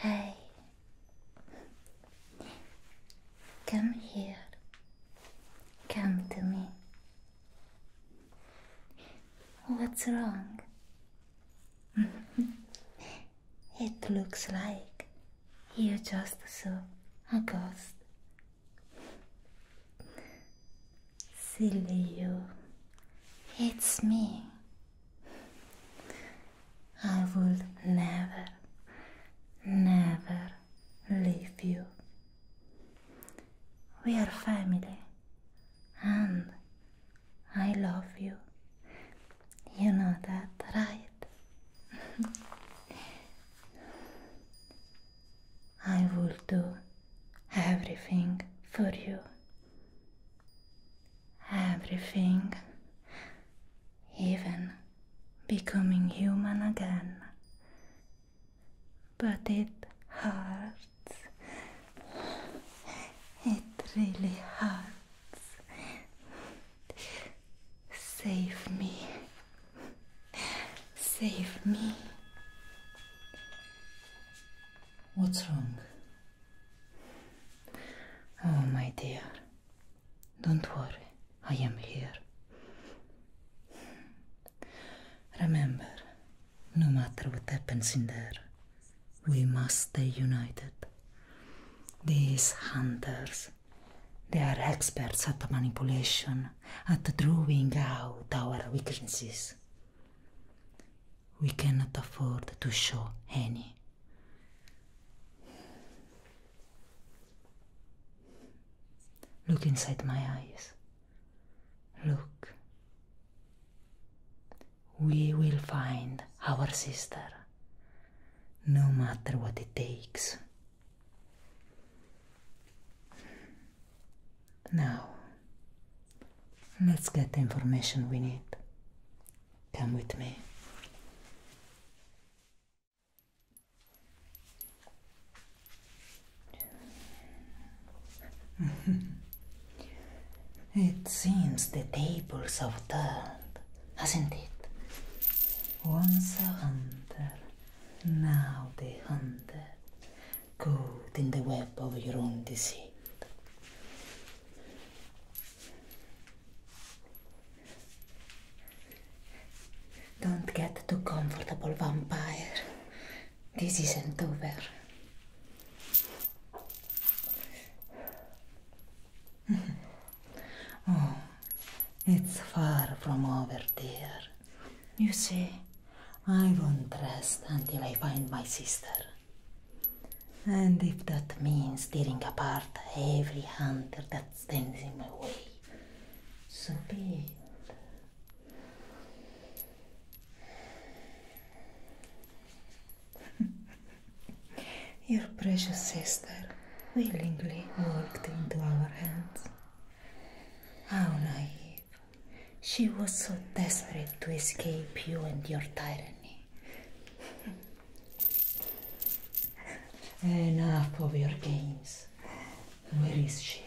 Hey, come here. Come to me. What's wrong? it looks like you just saw a ghost Silly you. It's me. I will never, never leave you. We are family. And I love you. You know that, right? I will do everything for you. Everything, even becoming human again. But it hurts. It really hurts. Save me. Save me. What's wrong? Oh, my dear. Don't worry, I am here. Remember, no matter what happens in there, we must stay united. These hunters, they are experts at manipulation. at drawing out our weaknesses. We cannot afford to show any. Look inside my eyes. Look. We will find our sister, no matter what it takes. Now, let's get the information we need. Come with me. it seems the tables have turned, hasn't it? Once a hunter, now the hunter caught in the web of your own deceit. Don't get too comfortable, vampire. This isn't over. oh, it's far from over, dear. You see, I won't rest until I find my sister. And if that means tearing apart every hunter that stands in my way, so be it. Your precious sister willingly walked into our hands. How naive. She was so desperate to escape you and your tyranny. Enough of your games. Where is she?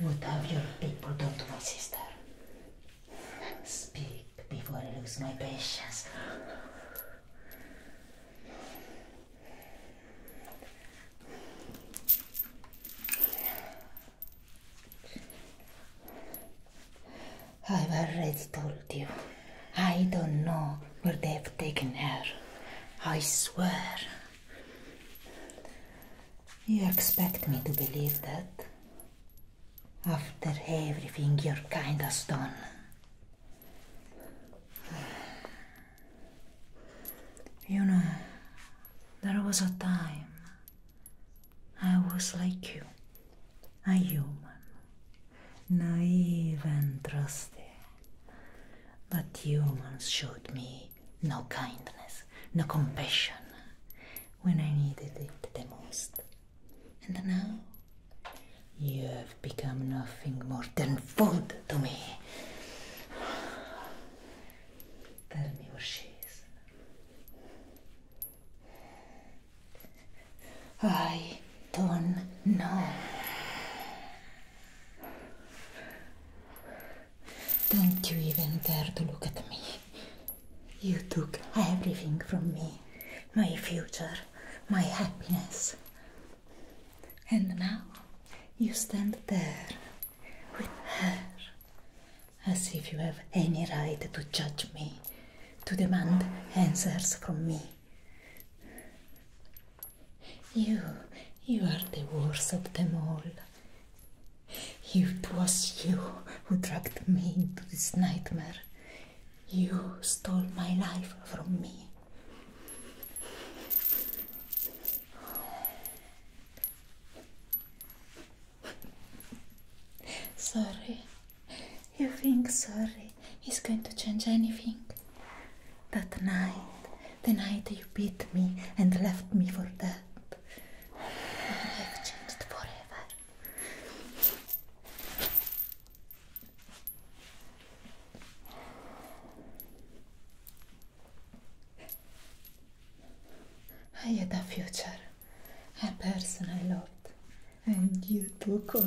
What have your people done to my sister? Speak before I lose my patience. I've already told you. I don't know where they have taken her. I swear. You expect me to believe that? After everything your kind has done. You know, there was a time I was like you, a human, naive and trusting. But humans showed me no kindness, no compassion when I needed it the most. And now you have become nothing more than food to me. Tell me where she is. I don't know. Don't you even dare to look at me. You took everything from me my future, my happiness. And now you stand there with her. As if you have any right to judge me, to demand answers from me. You, you are the worst of them all. It was you who dragged me into this nightmare. You stole my life from me. Sorry, you think sorry is going to change anything? That night, the night you beat me and left me for dead, my life changed forever. I had a future, a person I loved, and you took all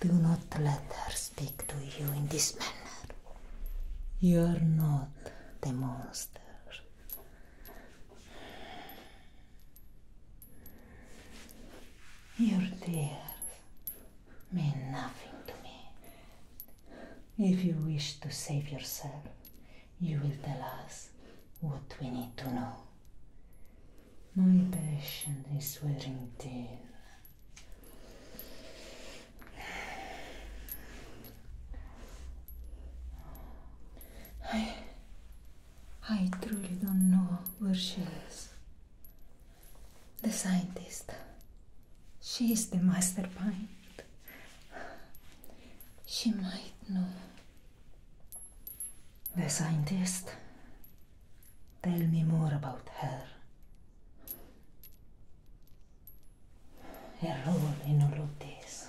Do not let her speak to you in this manner. You are not the monster Your tears mean nothing to me. If you wish to save yourself, you will tell us what we need to know. My patient is wearing thin. I, I truly don't know where she is. The scientist. She is the mastermind. She might know. The scientist. Tell me more about her. Her role in all of this.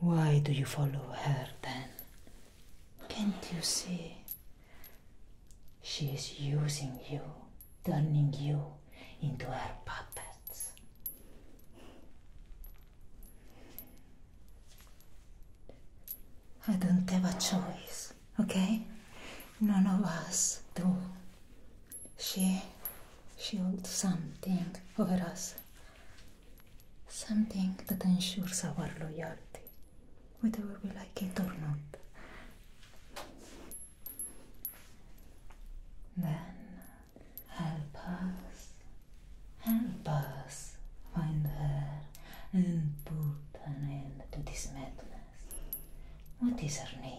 Why do you follow her then? Can't you see? She is using you, turning you into her puppets. I don't have a choice, okay? None of us do. She, she holds something over us. something that ensures our loyalty, whether we like it or not. Then help us, help us find her and put an end to this madness. What is her name?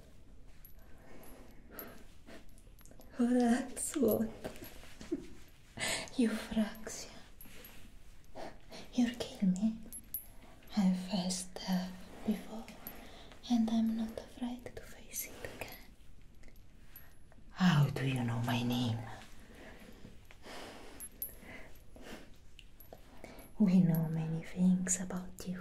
Relax, Lotta. Euphraxia. You're killing me. I faced that before, and I'm not afraid to face it again. How do you know my name? We know many things about you.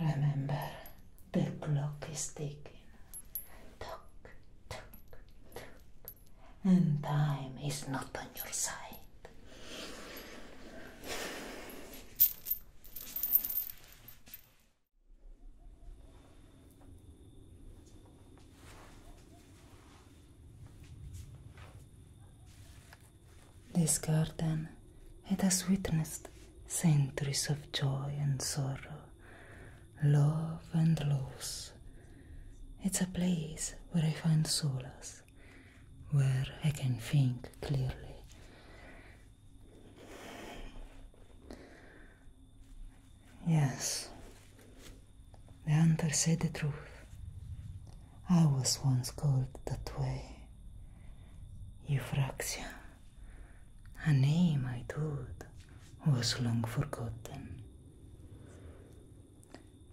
remember the clock is ticking tock tock tock and time is not on your side this garden it has witnessed centuries of joy and sorrow, love and loss. It's a place where I find solace, where I can think clearly. Yes, the hunter said the truth. I was once called that way, Eupraxia. A name I thought was long forgotten.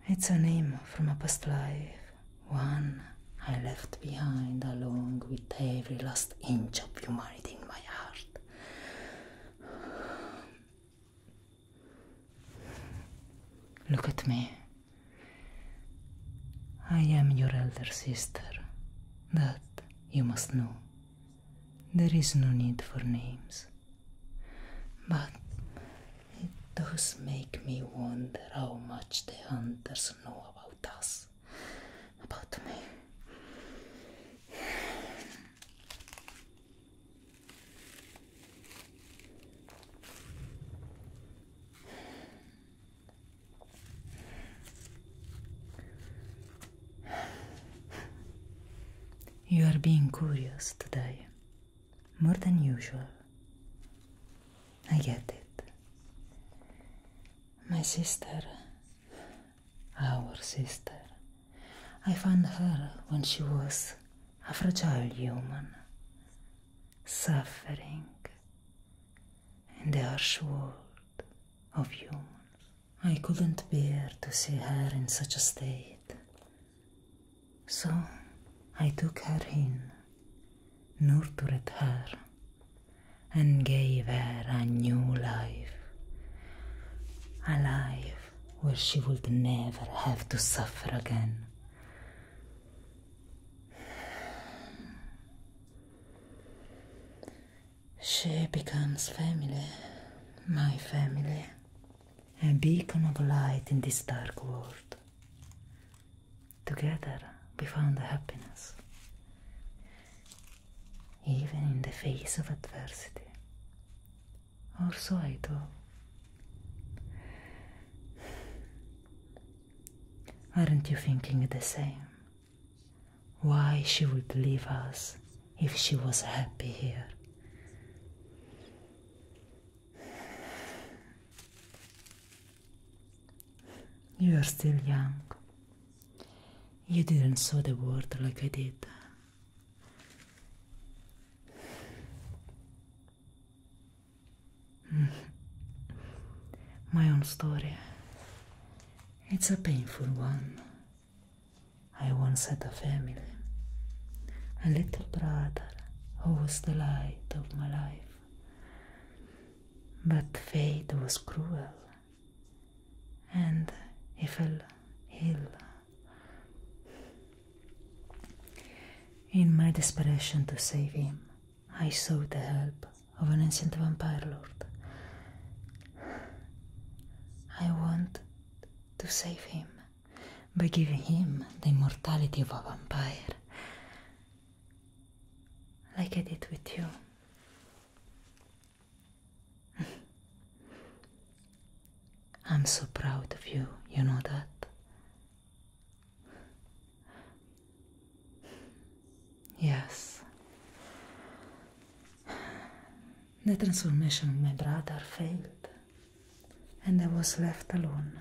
It's a name from a past life, one I left behind along with every last inch of humanity in my heart. Look at me. I am your elder sister that you must know there is no need for names. But it does make me wonder how much the hunters know about us, about me. You are being curious today, more than usual. I get it. My sister, our sister, I found her when she was a fragile human, suffering in the harsh world of you, I couldn't bear to see her in such a state. So I took her in, nurtured her, and gave her a new life. A life where she would never have to suffer again. She becomes family, my family, a beacon of light in this dark world. Together we found the happiness, even in the face of adversity. Or so I do. Aren't you thinking the same? Why she would leave us if she was happy here. You are still young. You didn't saw the world like I did. My own story. It's a painful one. I once had a family, a little brother who was the light of my life. But fate was cruel, and he fell ill. In my desperation to save him, I sought the help of an ancient vampire lord. I want to save him by giving him the immortality of a vampire, like I did with you. I'm so proud of you, you know that. Yes. The transformation of my brother failed, and I was left alone.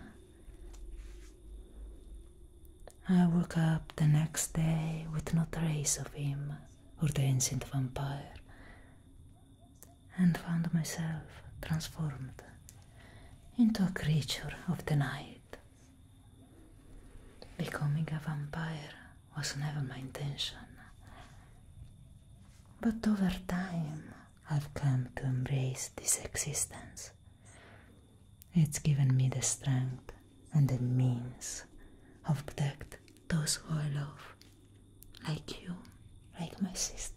I woke up the next day with no trace of him or the ancient vampire, and found myself transformed into a creature of the night. Becoming a vampire was never my intention. But over time, I've come to embrace this existence. It's given me the strength and the means of protect those who I love, like you, like my sister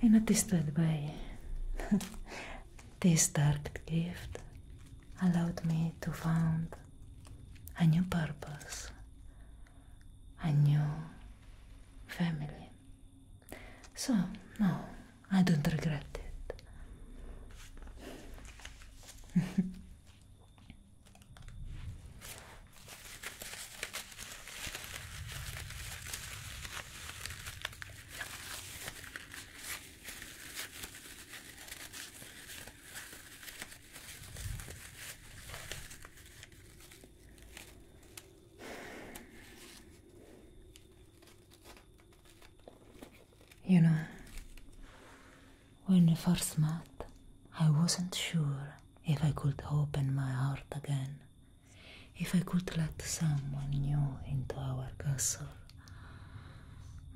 and attested by this dark gift allowed me to find a new purpose, a new family. So, no, I don't regret it. You know, when we first met, I wasn't sure if I could open my heart again if I could let someone new into our castle.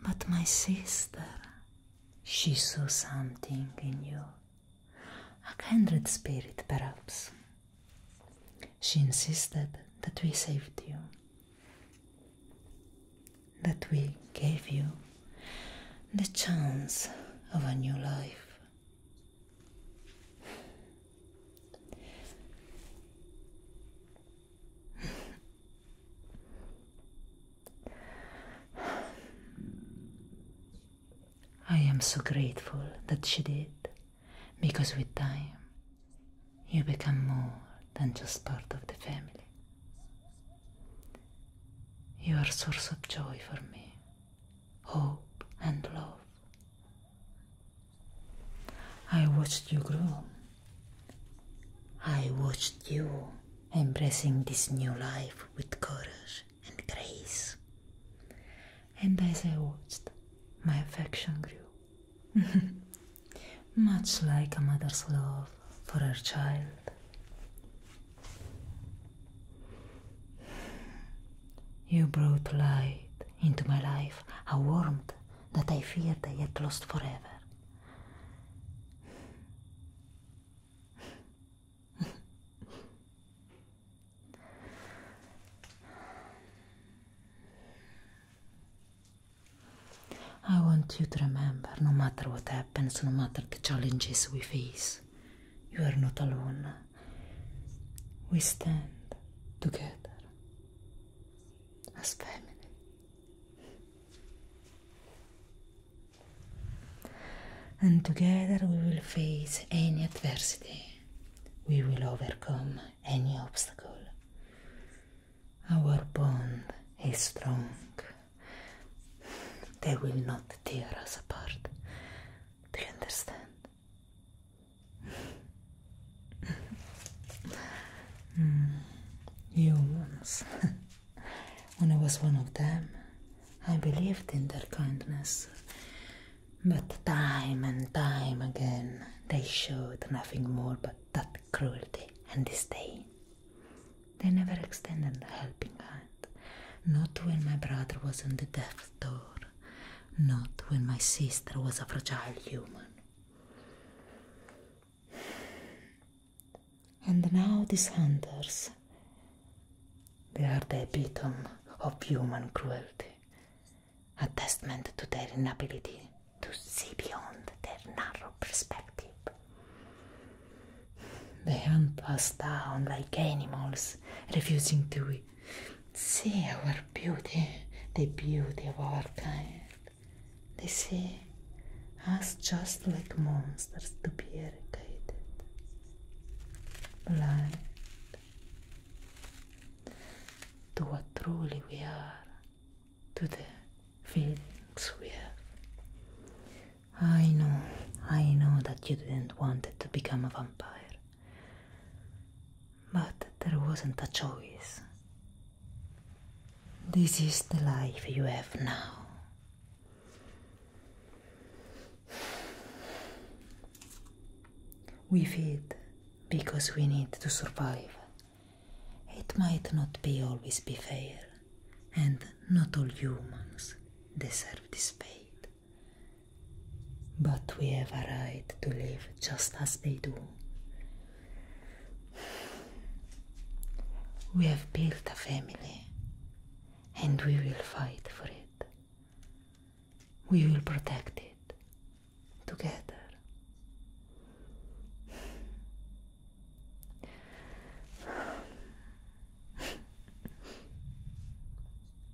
But my sister, she saw something in you, a kindred spirit, perhaps. She insisted that we saved you, that we gave you the chance of a new life. I am so grateful that she did, because with time you become more than just part of the family. You are a source of joy for me, hope and love. I watched you grow. I watched you embracing this new life with courage and grace. And as I watched, my affection grew. Much like a mother's love for her child. You brought light into my life a warmth that I feared I had lost forever. I want you to remember no matter what happens, no matter the challenges we face, you are not alone. We stand together as femmine. And together we will face any adversity, we will overcome any obstacle. Our bond is strong, they will not tear us apart. Do you understand? humans. Hmm. when I was one of them, I believed in their kindness. But time and time again, they showed nothing more but that cruelty and disdain. They never extended a helping hand, not when my brother was on the death door. Not when my sister was a fragile human. And now these hunters. They are the epitome of human cruelty, a testament to their inability to see beyond their narrow perspective. They hunt us down like animals, refusing to See our beauty, the beauty of our kind. They see us just like monsters to be irritated. Blind to what truly we are, to the feelings we have. I know, I know that you didn't want to become a vampire. But there wasn't a choice. This is the life you have now. We feed because we need to survive. It might not be always be fair, and not all humans deserve this fate. But we have a right to live just as they do. We have built a family and we will fight for it. We will protect it together.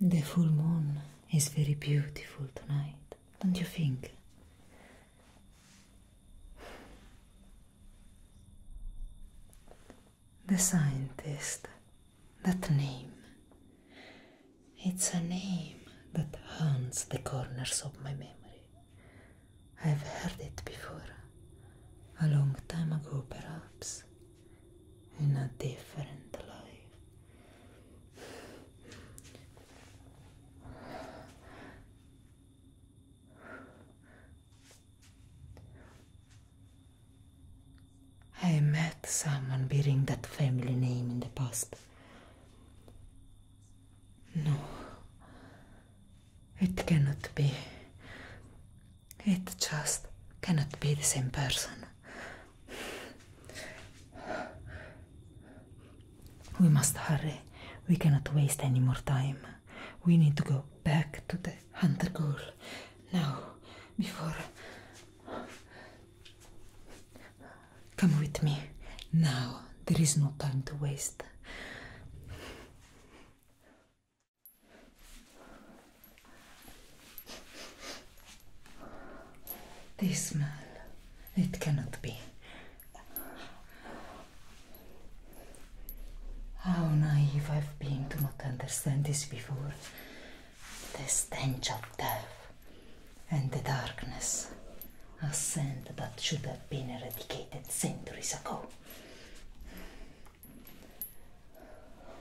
The full moon is very beautiful tonight, don't you think? The scientist, that name. It's a name that haunts the corners of my memory. I've heard it before, a long time ago perhaps. in a different life. I met someone bearing that family name in the past. No, it cannot be. It just cannot be the same person. We must hurry. We cannot waste any more time. We need to go back to the hunter girl now before. Come with me. Now there is no time to waste. This man, it cannot be. How naive I've been to not understand this before. The stench of death and the darkness, a scent that should have been eradicated centuries ago.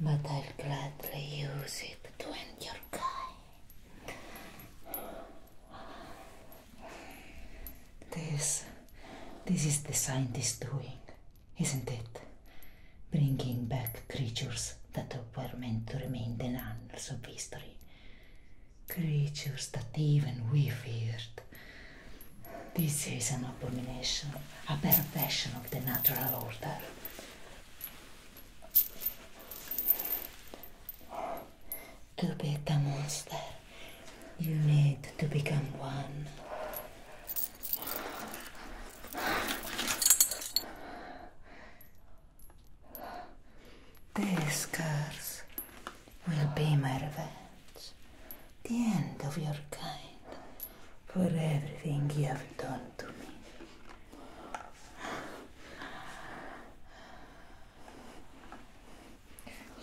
but I'll gladly use it to end your guy. This, this is the scientist doing, isn't it? Bringing back creatures that were meant to remain the annals of history. Creatures that even we feared. This is an abomination, a perversion of the natural order. To be a monster, you need to become one. These scars will be my revenge, the end of your kind, for everything you have done.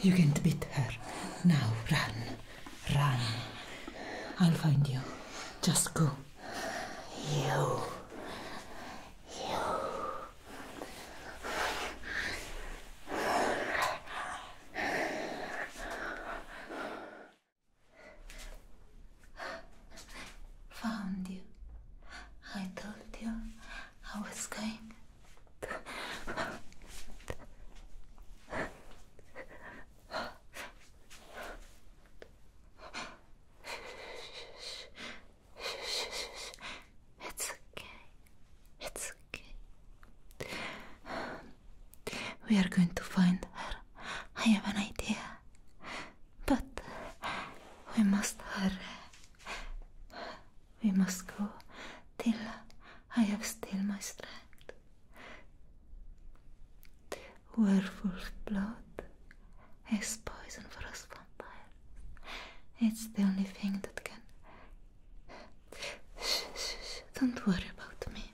You can't beat her. Now run. Run. I'll find you. Just go. You. You. Found you. I told you I was going It's okay. It's okay. We are going to find her. I have an idea. But we must hurry. We must go till I have still my strength. Werewolf blood is poison for us vampire. It's the only thing that can. Shh, shh, shh. Don't worry about me.